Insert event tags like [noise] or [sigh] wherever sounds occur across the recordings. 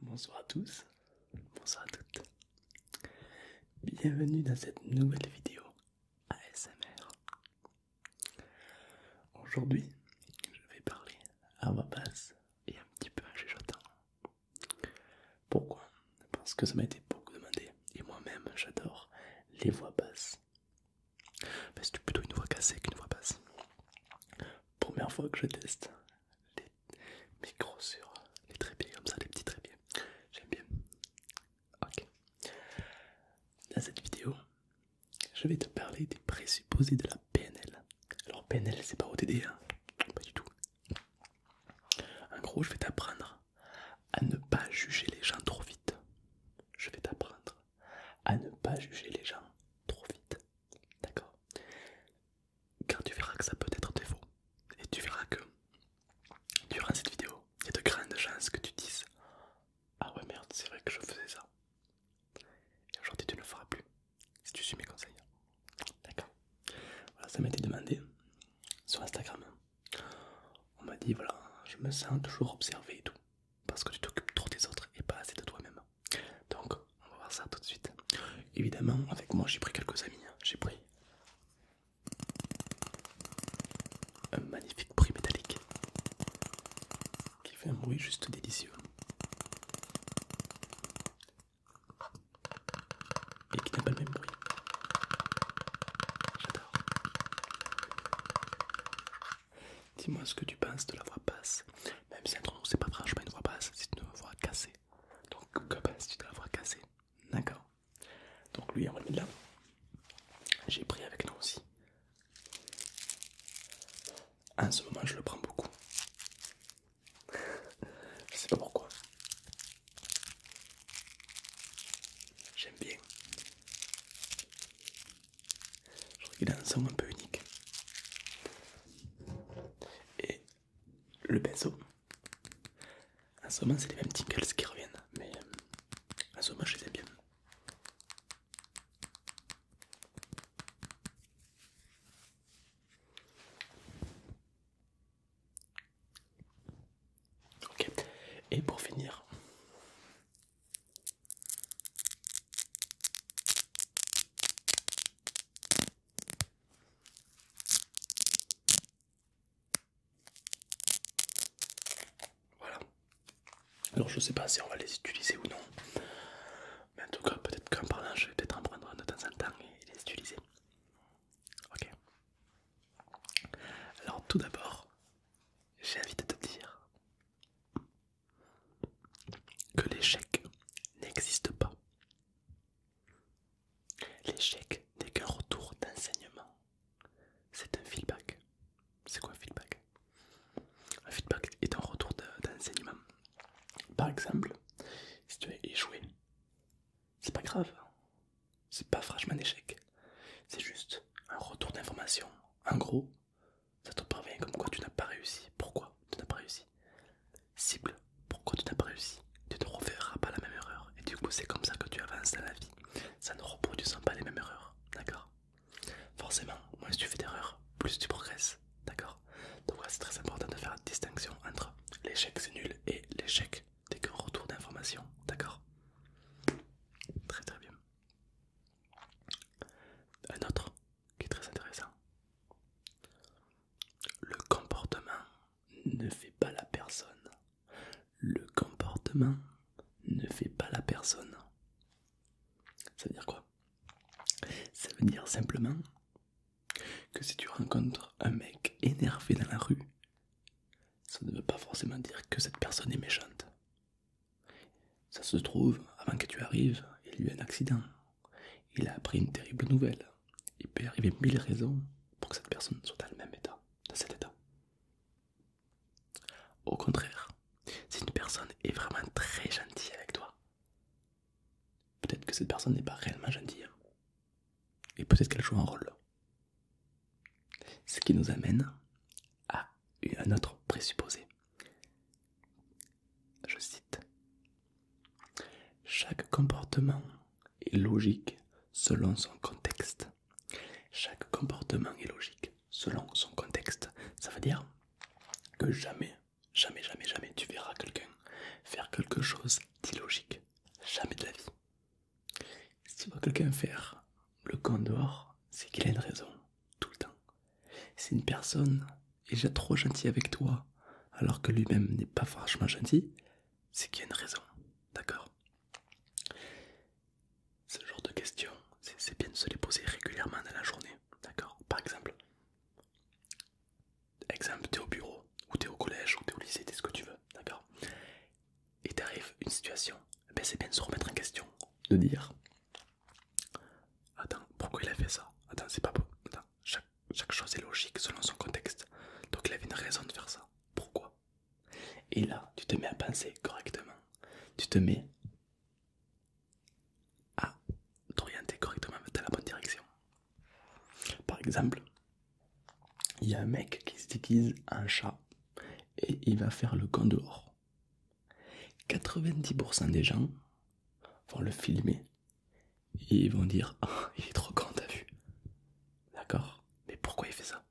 Bonsoir à tous, bonsoir à toutes. Bienvenue dans cette nouvelle vidéo ASMR. Aujourd'hui, je vais parler à voix basse et un petit peu en chuchotant. Pourquoi Parce que ça m'a été beaucoup demandé et moi-même j'adore les voix basses. C'est plutôt une voix cassée qu'une voix basse. Première fois que je teste les mes gros sur les trépieds comme ça, les petits trépieds. J'aime bien. Ok. Dans cette vidéo, je vais te parler des présupposés de la PNL. Alors PNL, c'est pas ODD hein pas du tout. En gros, je vais t'apprendre à ne pas juger les gens trop vite. Je vais t'apprendre à ne pas juger les gens trop vite. D'accord car tu verras que ça peut être tes défaut. Et tu verras que durant cette vidéo, il y a de grandes chances que tu dises Ah ouais, merde, c'est vrai que je faisais ça. Et aujourd'hui, tu ne le feras plus si tu suis mes conseils. D'accord Voilà, ça m'a été demandé sur Instagram. On m'a dit Voilà, je me sens toujours observé et tout, parce que tu t'occupes trop des autres et pas assez de toi-même. Donc, on va voir ça tout de suite. Évidemment, avec moi j'ai pris quelques amis. Hein. J'ai pris un magnifique prix métallique qui fait un bruit juste délicieux et qui n'a pas le même bruit. J'adore. Dis-moi ce que tu penses de la voix basse. Même si entre c'est pas franchement une voix basse, c'est une voix cassée. Donc que pense tu de avoir cassé D'accord. Donc lui on va le là. J'ai pris avec nous aussi. En ce moment je le prends beaucoup. [laughs] je sais pas pourquoi. J'aime bien. Je trouve qu'il a un son un peu unique. Et le pinceau. En ce moment, c'est les mêmes tickles qui reviennent, mais euh, en ce moment, je les aime bien. Ok, et pour finir, voilà. Alors je sais pas si on va les utiliser ou non. Mais en tout cas peut-être qu'en parlant je vais peut-être en prendre un de temps en temps et les utiliser. Ok. Alors tout d'abord, j'ai envie de te dire que l'échec n'existe pas. L'échec n'est qu'un retour d'enseignement. C'est un feedback. C'est quoi un feedback Un feedback est un retour d'enseignement. Par exemple, si tu as échoué, c'est pas grave. C'est pas franchement un échec. C'est juste un retour d'information. En gros, ça te parvient comme quoi tu n'as pas réussi. Pourquoi tu n'as pas réussi Cible, pourquoi tu n'as pas réussi Tu ne referas pas la même erreur. Et du coup, c'est comme ça que tu avances dans la vie. Ça ne sans pas les mêmes erreurs. D'accord Forcément, moins tu fais d'erreurs, plus tu progresses. D'accord Donc, c'est très important de faire distinction entre l'échec c'est nul et l'échec dès que retour d'information. D'accord Très très bien. Un autre qui est très intéressant. Le comportement ne fait pas la personne. Le comportement ne fait pas la personne. Ça veut dire quoi Ça veut dire simplement que si tu rencontres un mec énervé dans la rue, ça ne veut pas forcément dire que cette personne est méchante. Ça se trouve, avant que tu arrives, il y a eu un accident, il a appris une terrible nouvelle. Il peut arriver mille raisons pour que cette personne soit dans le même état, dans cet état. Au contraire, si une personne est vraiment très gentille avec toi, peut-être que cette personne n'est pas réellement gentille. Hein. Et peut-être qu'elle joue un rôle. Ce qui nous amène à un autre présupposé. Je cite Chaque comportement est logique selon son contexte. Chaque comportement est logique selon son contexte. Ça veut dire que jamais, jamais, jamais, jamais tu verras quelqu'un faire quelque chose d'illogique. Jamais de la vie. Si tu vois quelqu'un faire le con dehors, c'est qu'il a une raison, tout le temps. c'est une personne est déjà trop gentil avec toi, alors que lui-même n'est pas franchement gentil, c'est qu'il y a une raison, d'accord Ce genre de questions, c'est bien de se les poser régulièrement dans la journée, d'accord Par exemple, exemple, t'es au bureau, ou t'es au collège, ou t'es au lycée, t'es ce que tu veux, d'accord Et t'arrives une situation, eh ben c'est bien de se remettre en question, de dire Attends, pourquoi il a fait ça Attends, c'est pas beau. Attends, chaque, chaque chose est logique selon son contexte. Donc il avait une raison de faire ça. Pourquoi Et là, tu te mets à penser correctement. Tu te mets à t'orienter correctement dans la bonne direction. Par exemple, il y a un mec qui se déguise chat et il va faire le gant dehors. 90% des gens vont le filmer ils vont dire [laughs] ah, il est trop grand, t'as vu D'accord Mais pourquoi il fait ça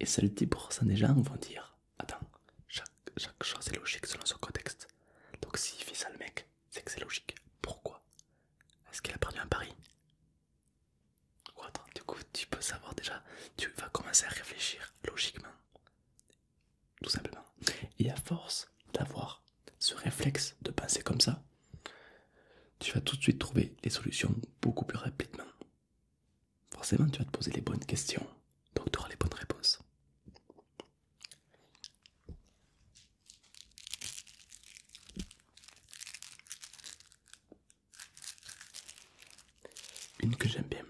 Et seuls 10% des gens vont dire Attends, chaque, chaque chose est logique selon son contexte. Donc s'il fait ça le mec, c'est que c'est logique. Pourquoi Est-ce qu'il a perdu un pari ou du coup, tu peux savoir déjà, tu vas commencer à réfléchir logiquement tout simplement. Et à force d'avoir ce réflexe de penser comme ça, tu vas tout de suite trouver les solutions beaucoup plus rapidement. Forcément, tu vas te poser les bonnes questions, donc tu auras les bonnes réponses. Une que j'aime bien,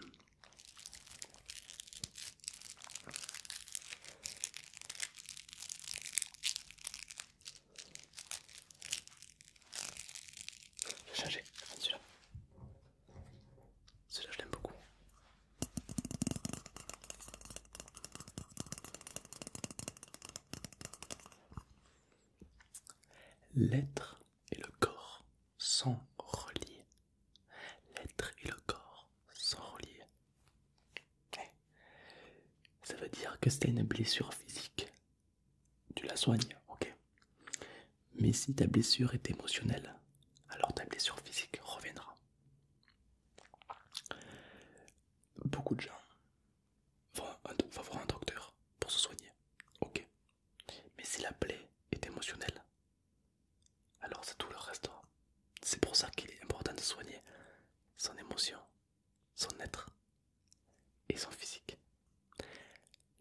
je changer, celui-là. Celui-là, je l'aime beaucoup. L'être et le corps sont reliés L'être et le corps sont reliés. Ça veut dire que c'est une blessure physique. Tu la soignes, ok. Mais si ta blessure est émotionnelle, alors ta blessure physique reviendra. Beaucoup de gens vont, vont voir un docteur pour se soigner, ok. Mais si la plaie est émotionnelle, alors c'est tout le reste. C'est pour ça qu'il est important de soigner son émotion, son être et son physique.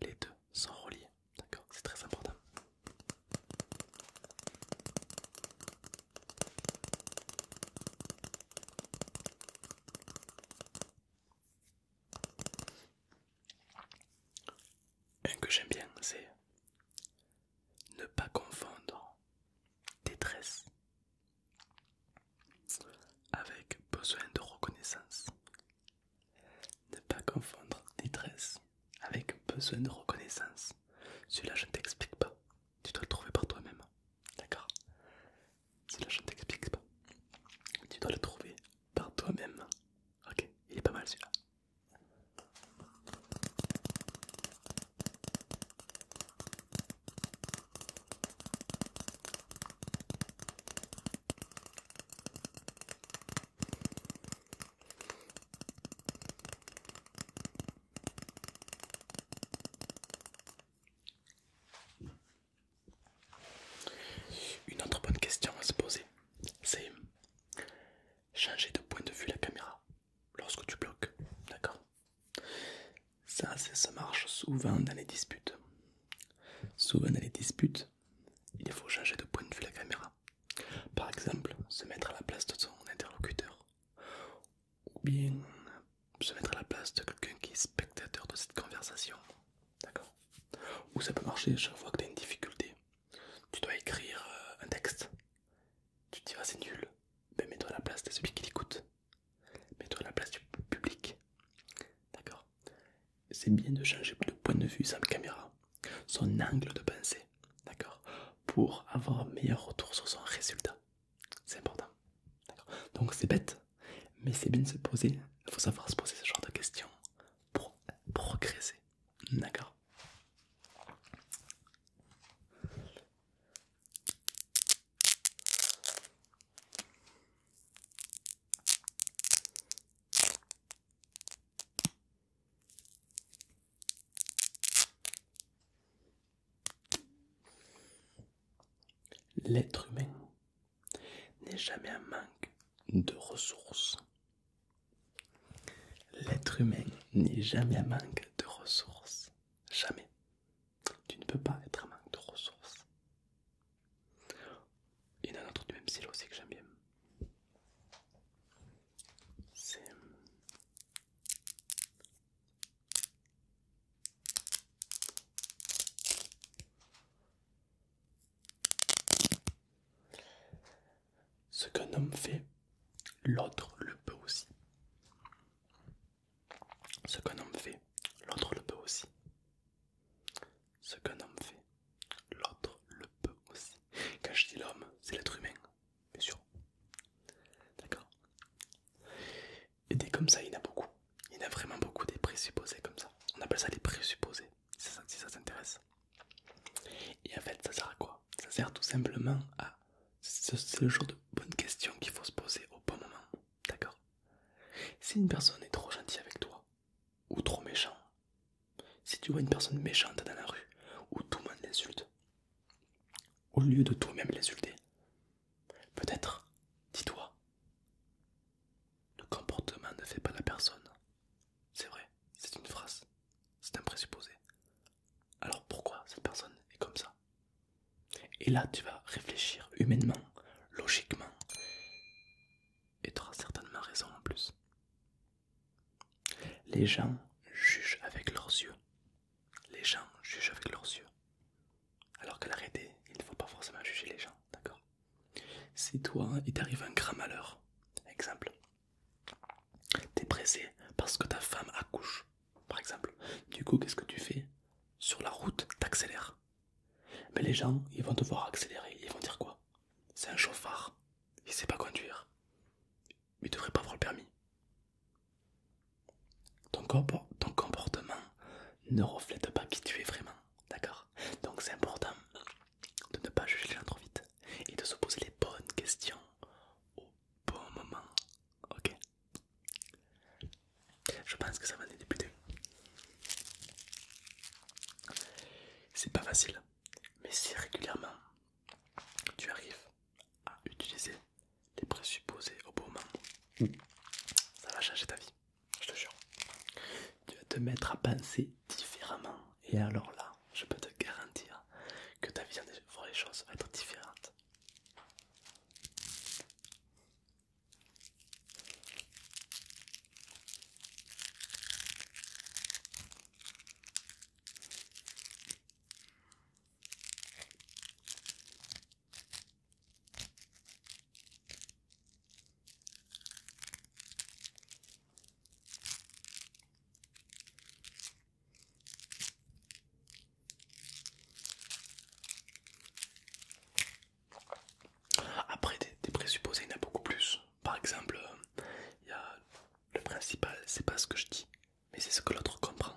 Les deux sont reliés, d'accord C'est très important. Un que j'aime bien, c'est ne pas confondre détresse avec besoin de reconnaissance. Ne pas confondre détresse avec besoin de reconnaissance. Cela je ne t'explique pas. Tu dois le trouver par toi-même. D'accord Cela je ne t'explique pas. Tu dois le trouver par toi-même. Ok, il est pas mal celui-là. Une autre bonne question à se poser, c'est changer de point de vue la caméra lorsque tu bloques. D'accord ça, ça, marche souvent dans les disputes. Souvent dans les disputes, il faut changer de point de vue la caméra. Par exemple, se mettre à la place de son interlocuteur. Ou bien se mettre à la place de quelqu'un qui est spectateur de cette conversation. D'accord Ou ça peut marcher chaque fois que tu as une difficulté tu dois écrire euh, un texte. Tu te dis, c'est nul. mais mets-toi à la place de celui qui l'écoute. Mets-toi à la place du public. D'accord C'est bien de changer de point de vue la caméra, son angle de pensée, d'accord Pour avoir un meilleur retour sur son résultat. C'est important. Donc, c'est bête, mais c'est bien de se poser. Il faut savoir se poser ce genre de questions pour progresser. D'accord L'être humain n'est jamais un manque de ressources. L'être humain n'est jamais à manque de ressources. Jamais. Tu ne peux pas être à manque de ressources. Il y a un autre du même style aussi que j'aime bien. Ce qu'un homme fait, l'autre le peut aussi. Ce qu'un homme fait, l'autre le peut aussi. Ce qu'un homme fait, l'autre le peut aussi. Quand je dis l'homme, c'est l'être humain, bien sûr. D'accord Et des comme ça, il y en a beaucoup. Il y a vraiment beaucoup des présupposés comme ça. On appelle ça des présupposés si ça, ça t'intéresse. Et en fait, ça sert à quoi Ça sert tout simplement à. C'est le genre de bonnes questions qu'il faut se poser au bon moment, d'accord Si une personne est trop gentille avec toi, ou trop méchant, si tu vois une personne méchante dans la rue, où tout le monde l'insulte, au lieu de toi-même l'insulter, peut-être, dis-toi, le comportement ne fait pas la personne, c'est vrai, c'est une phrase, c'est un présupposé. Alors pourquoi cette personne est comme ça Et là, tu vas réfléchir humainement, logiquement, et tu auras certainement raison en plus. Les gens jugent avec leurs yeux. Les gens jugent avec leurs yeux. Alors qu'à l'arrêter, il ne faut pas forcément juger les gens, d'accord Si toi, il t'arrive un grand malheur, exemple, T'es pressé parce que ta femme accouche, par exemple. Du coup, qu'est-ce que tu fais Sur la route, t'accélères. Mais les gens, ils vont devoir accélérer. Ils vont dire quoi C'est un chauffard. Il sait pas conduire. Il devrait pas avoir le permis. ton comportement ne reflète pas qui tu es vraiment. D'accord donc c'est important de ne pas juger les gens trop vite et de se poser les bonnes questions au bon moment. Ok Je pense que ça va nous débuter. C'est pas facile, mais si régulièrement tu arrives à utiliser les présupposés au bon moment, ça va changer ta vie, je te jure. Tu vas te mettre à penser différemment et alors là, je peux te garantir que ta vision des voir les choses être différentes. Après des, présupposés, il y en a beaucoup plus. Par exemple, euh, le principal, c'est pas ce que je dis, mais c'est ce que l'autre comprend.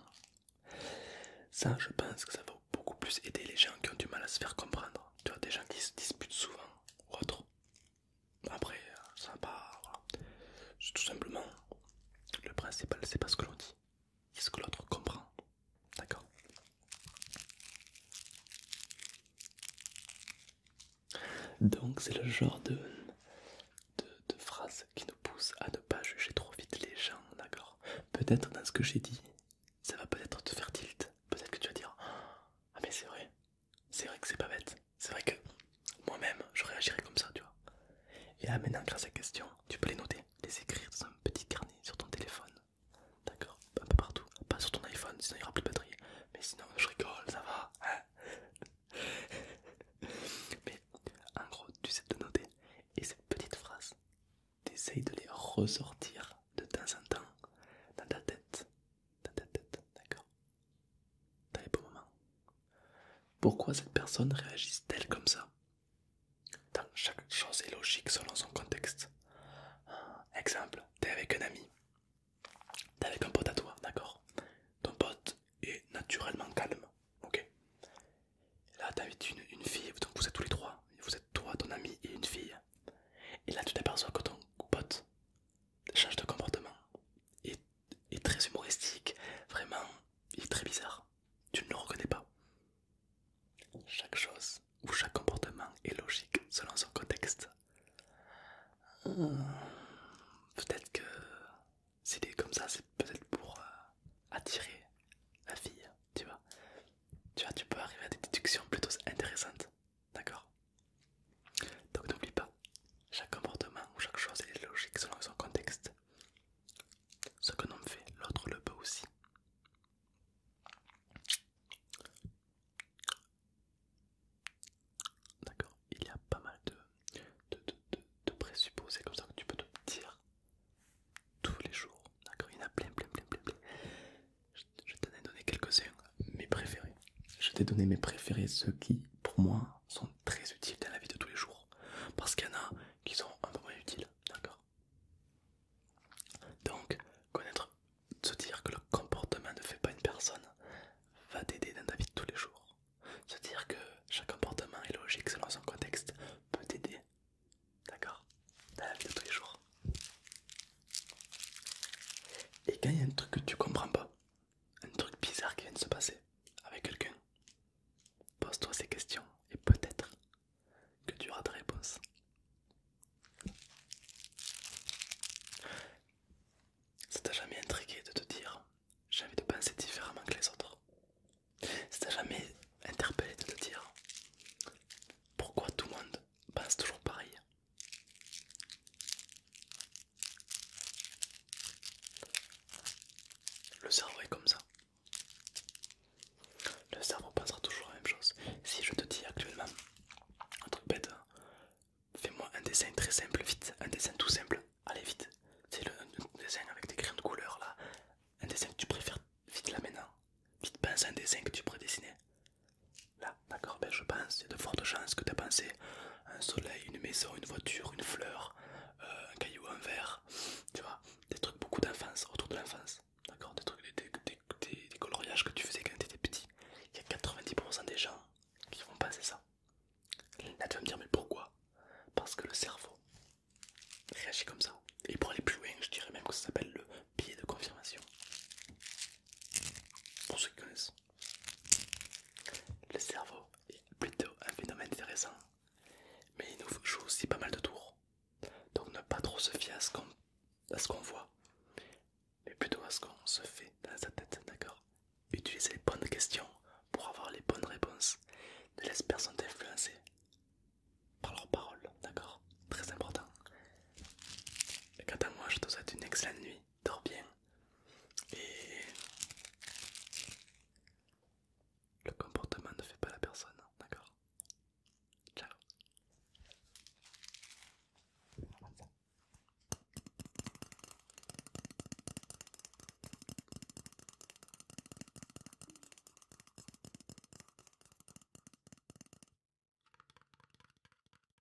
Ça, je pense que ça va beaucoup plus aider les gens qui ont du mal à se faire comprendre. Tu vois, des gens qui se disputent souvent ou autre, après, euh, ça va Tout simplement, le principal, c'est pas ce que l'on dit, c'est ce que l'autre comprend. D'accord Donc, c'est le genre de, de, de phrase qui nous pousse à ne pas juger trop vite les gens. D'accord Peut-être dans ce que j'ai dit, ça va peut-être te faire tilt. Peut-être que tu vas dire Ah, mais c'est vrai, c'est vrai que c'est pas bête. C'est vrai que moi-même, je réagirais comme ça, tu vois. Et là, maintenant, grâce à ces question, tu peux les noter, les écrire dans un petit carnet sur ton téléphone. D'accord Un peu partout. Pas sur ton iPhone, sinon il n'y aura plus de batterie. Mais sinon, je rigole, ça va. Hein [laughs] Mais en gros, tu sais de noter. Et ces petites phrases, essayes de les ressortir de temps en temps dans ta tête d'accord Dans les moments. Pourquoi cette personne réagit-elle comme ça chaque chose est logique selon son contexte. Exemple, t'es avec un ami, t'es avec un pote à toi, d'accord Ton pote est naturellement calme, ok Là, t'as une, une fille, donc vous êtes tous les trois, vous êtes toi, ton ami et une fille. Et là, tu t'aperçois que ton pote change de comportement. est, très humoristique, vraiment, il est très bizarre. Tu ne le reconnais pas. Chaque chose ou chaque comportement est logique selon son contexte. Euh, peut-être que s'il est comme ça, c'est peut-être pour euh, attirer la fille, tu vois. Tu vois, tu peux arriver à des déductions plutôt intéressantes. D'accord Donc n'oublie pas, chaque comportement ou chaque chose est logique selon son contexte. Ce que l'on fait, l'autre le peut aussi. D'accord Il y a pas mal de, de, de présupposés comme ça que tu peux te dire tous les jours. D'accord Il y en a plein, plein, plein, plein, plein je t'en ai donné quelques-uns, mes préférés. Je t'ai donné mes préférés, ceux qui, pour moi, sont très utiles dans la vie de tous les jours. Parce qu'il y en a qui sont un peu moins utiles, d'accord Donc, connaître, se dire que le comportement ne fait pas une personne, va t'aider dans ta vie de tous les jours. Se dire que chaque comportement est logique selon son contexte peut t'aider, d'accord Dans la vie de tous les jours. Et quand il y a un truc que tu comprends pas, un truc bizarre qui vient de se passer avec quelqu'un, pose-toi ces questions et peut-être que tu auras des réponses. Ça t'a jamais intrigué de te dire j'ai envie de penser différemment que les autres. Ça t'a jamais interpellé de te dire pourquoi tout le monde pense toujours pareil le cerveau est comme ça. Le cerveau pensera toujours la même chose. Si je te dis actuellement, un truc bête, hein, fais-moi un dessin très simple, vite, un dessin tout simple, allez vite. C'est le dessin avec des crayons de couleur là, un dessin que tu préfères vite là hein. Vite pense à un dessin que tu pourrais dessiner. Là, d'accord, je pense, il y a de fortes chances que tu as pensé un soleil, une maison, une voiture, une fleur, euh, un caillou, un verre, tu vois, des trucs beaucoup d'enfance, autour de l'enfance, d'accord, des trucs, des, coloriages que tu faisais quand tu étais petit. Il y a 90% des gens qui vont penser ça. Là, tu me dire, mais pourquoi Parce que le cerveau réagit comme ça. Et pour aller plus loin, je dirais même que ça s'appelle le biais de confirmation. Pour ceux qui le cerveau est plutôt un phénomène intéressant, mais il nous joue aussi pas mal de tours. Donc ne pas trop se fier à ce qu'on voit, mais plutôt à ce qu'on se fait dans sa tête, d'accord Utilisez les bonnes questions pour avoir les bonnes réponses. Ne laisse personne t'influencer par leurs paroles, d'accord Très important quant à moi, je te souhaite une excellente nuit. Dors bien. Et le comportement ne fait pas la personne, hein, d'accord Ciao.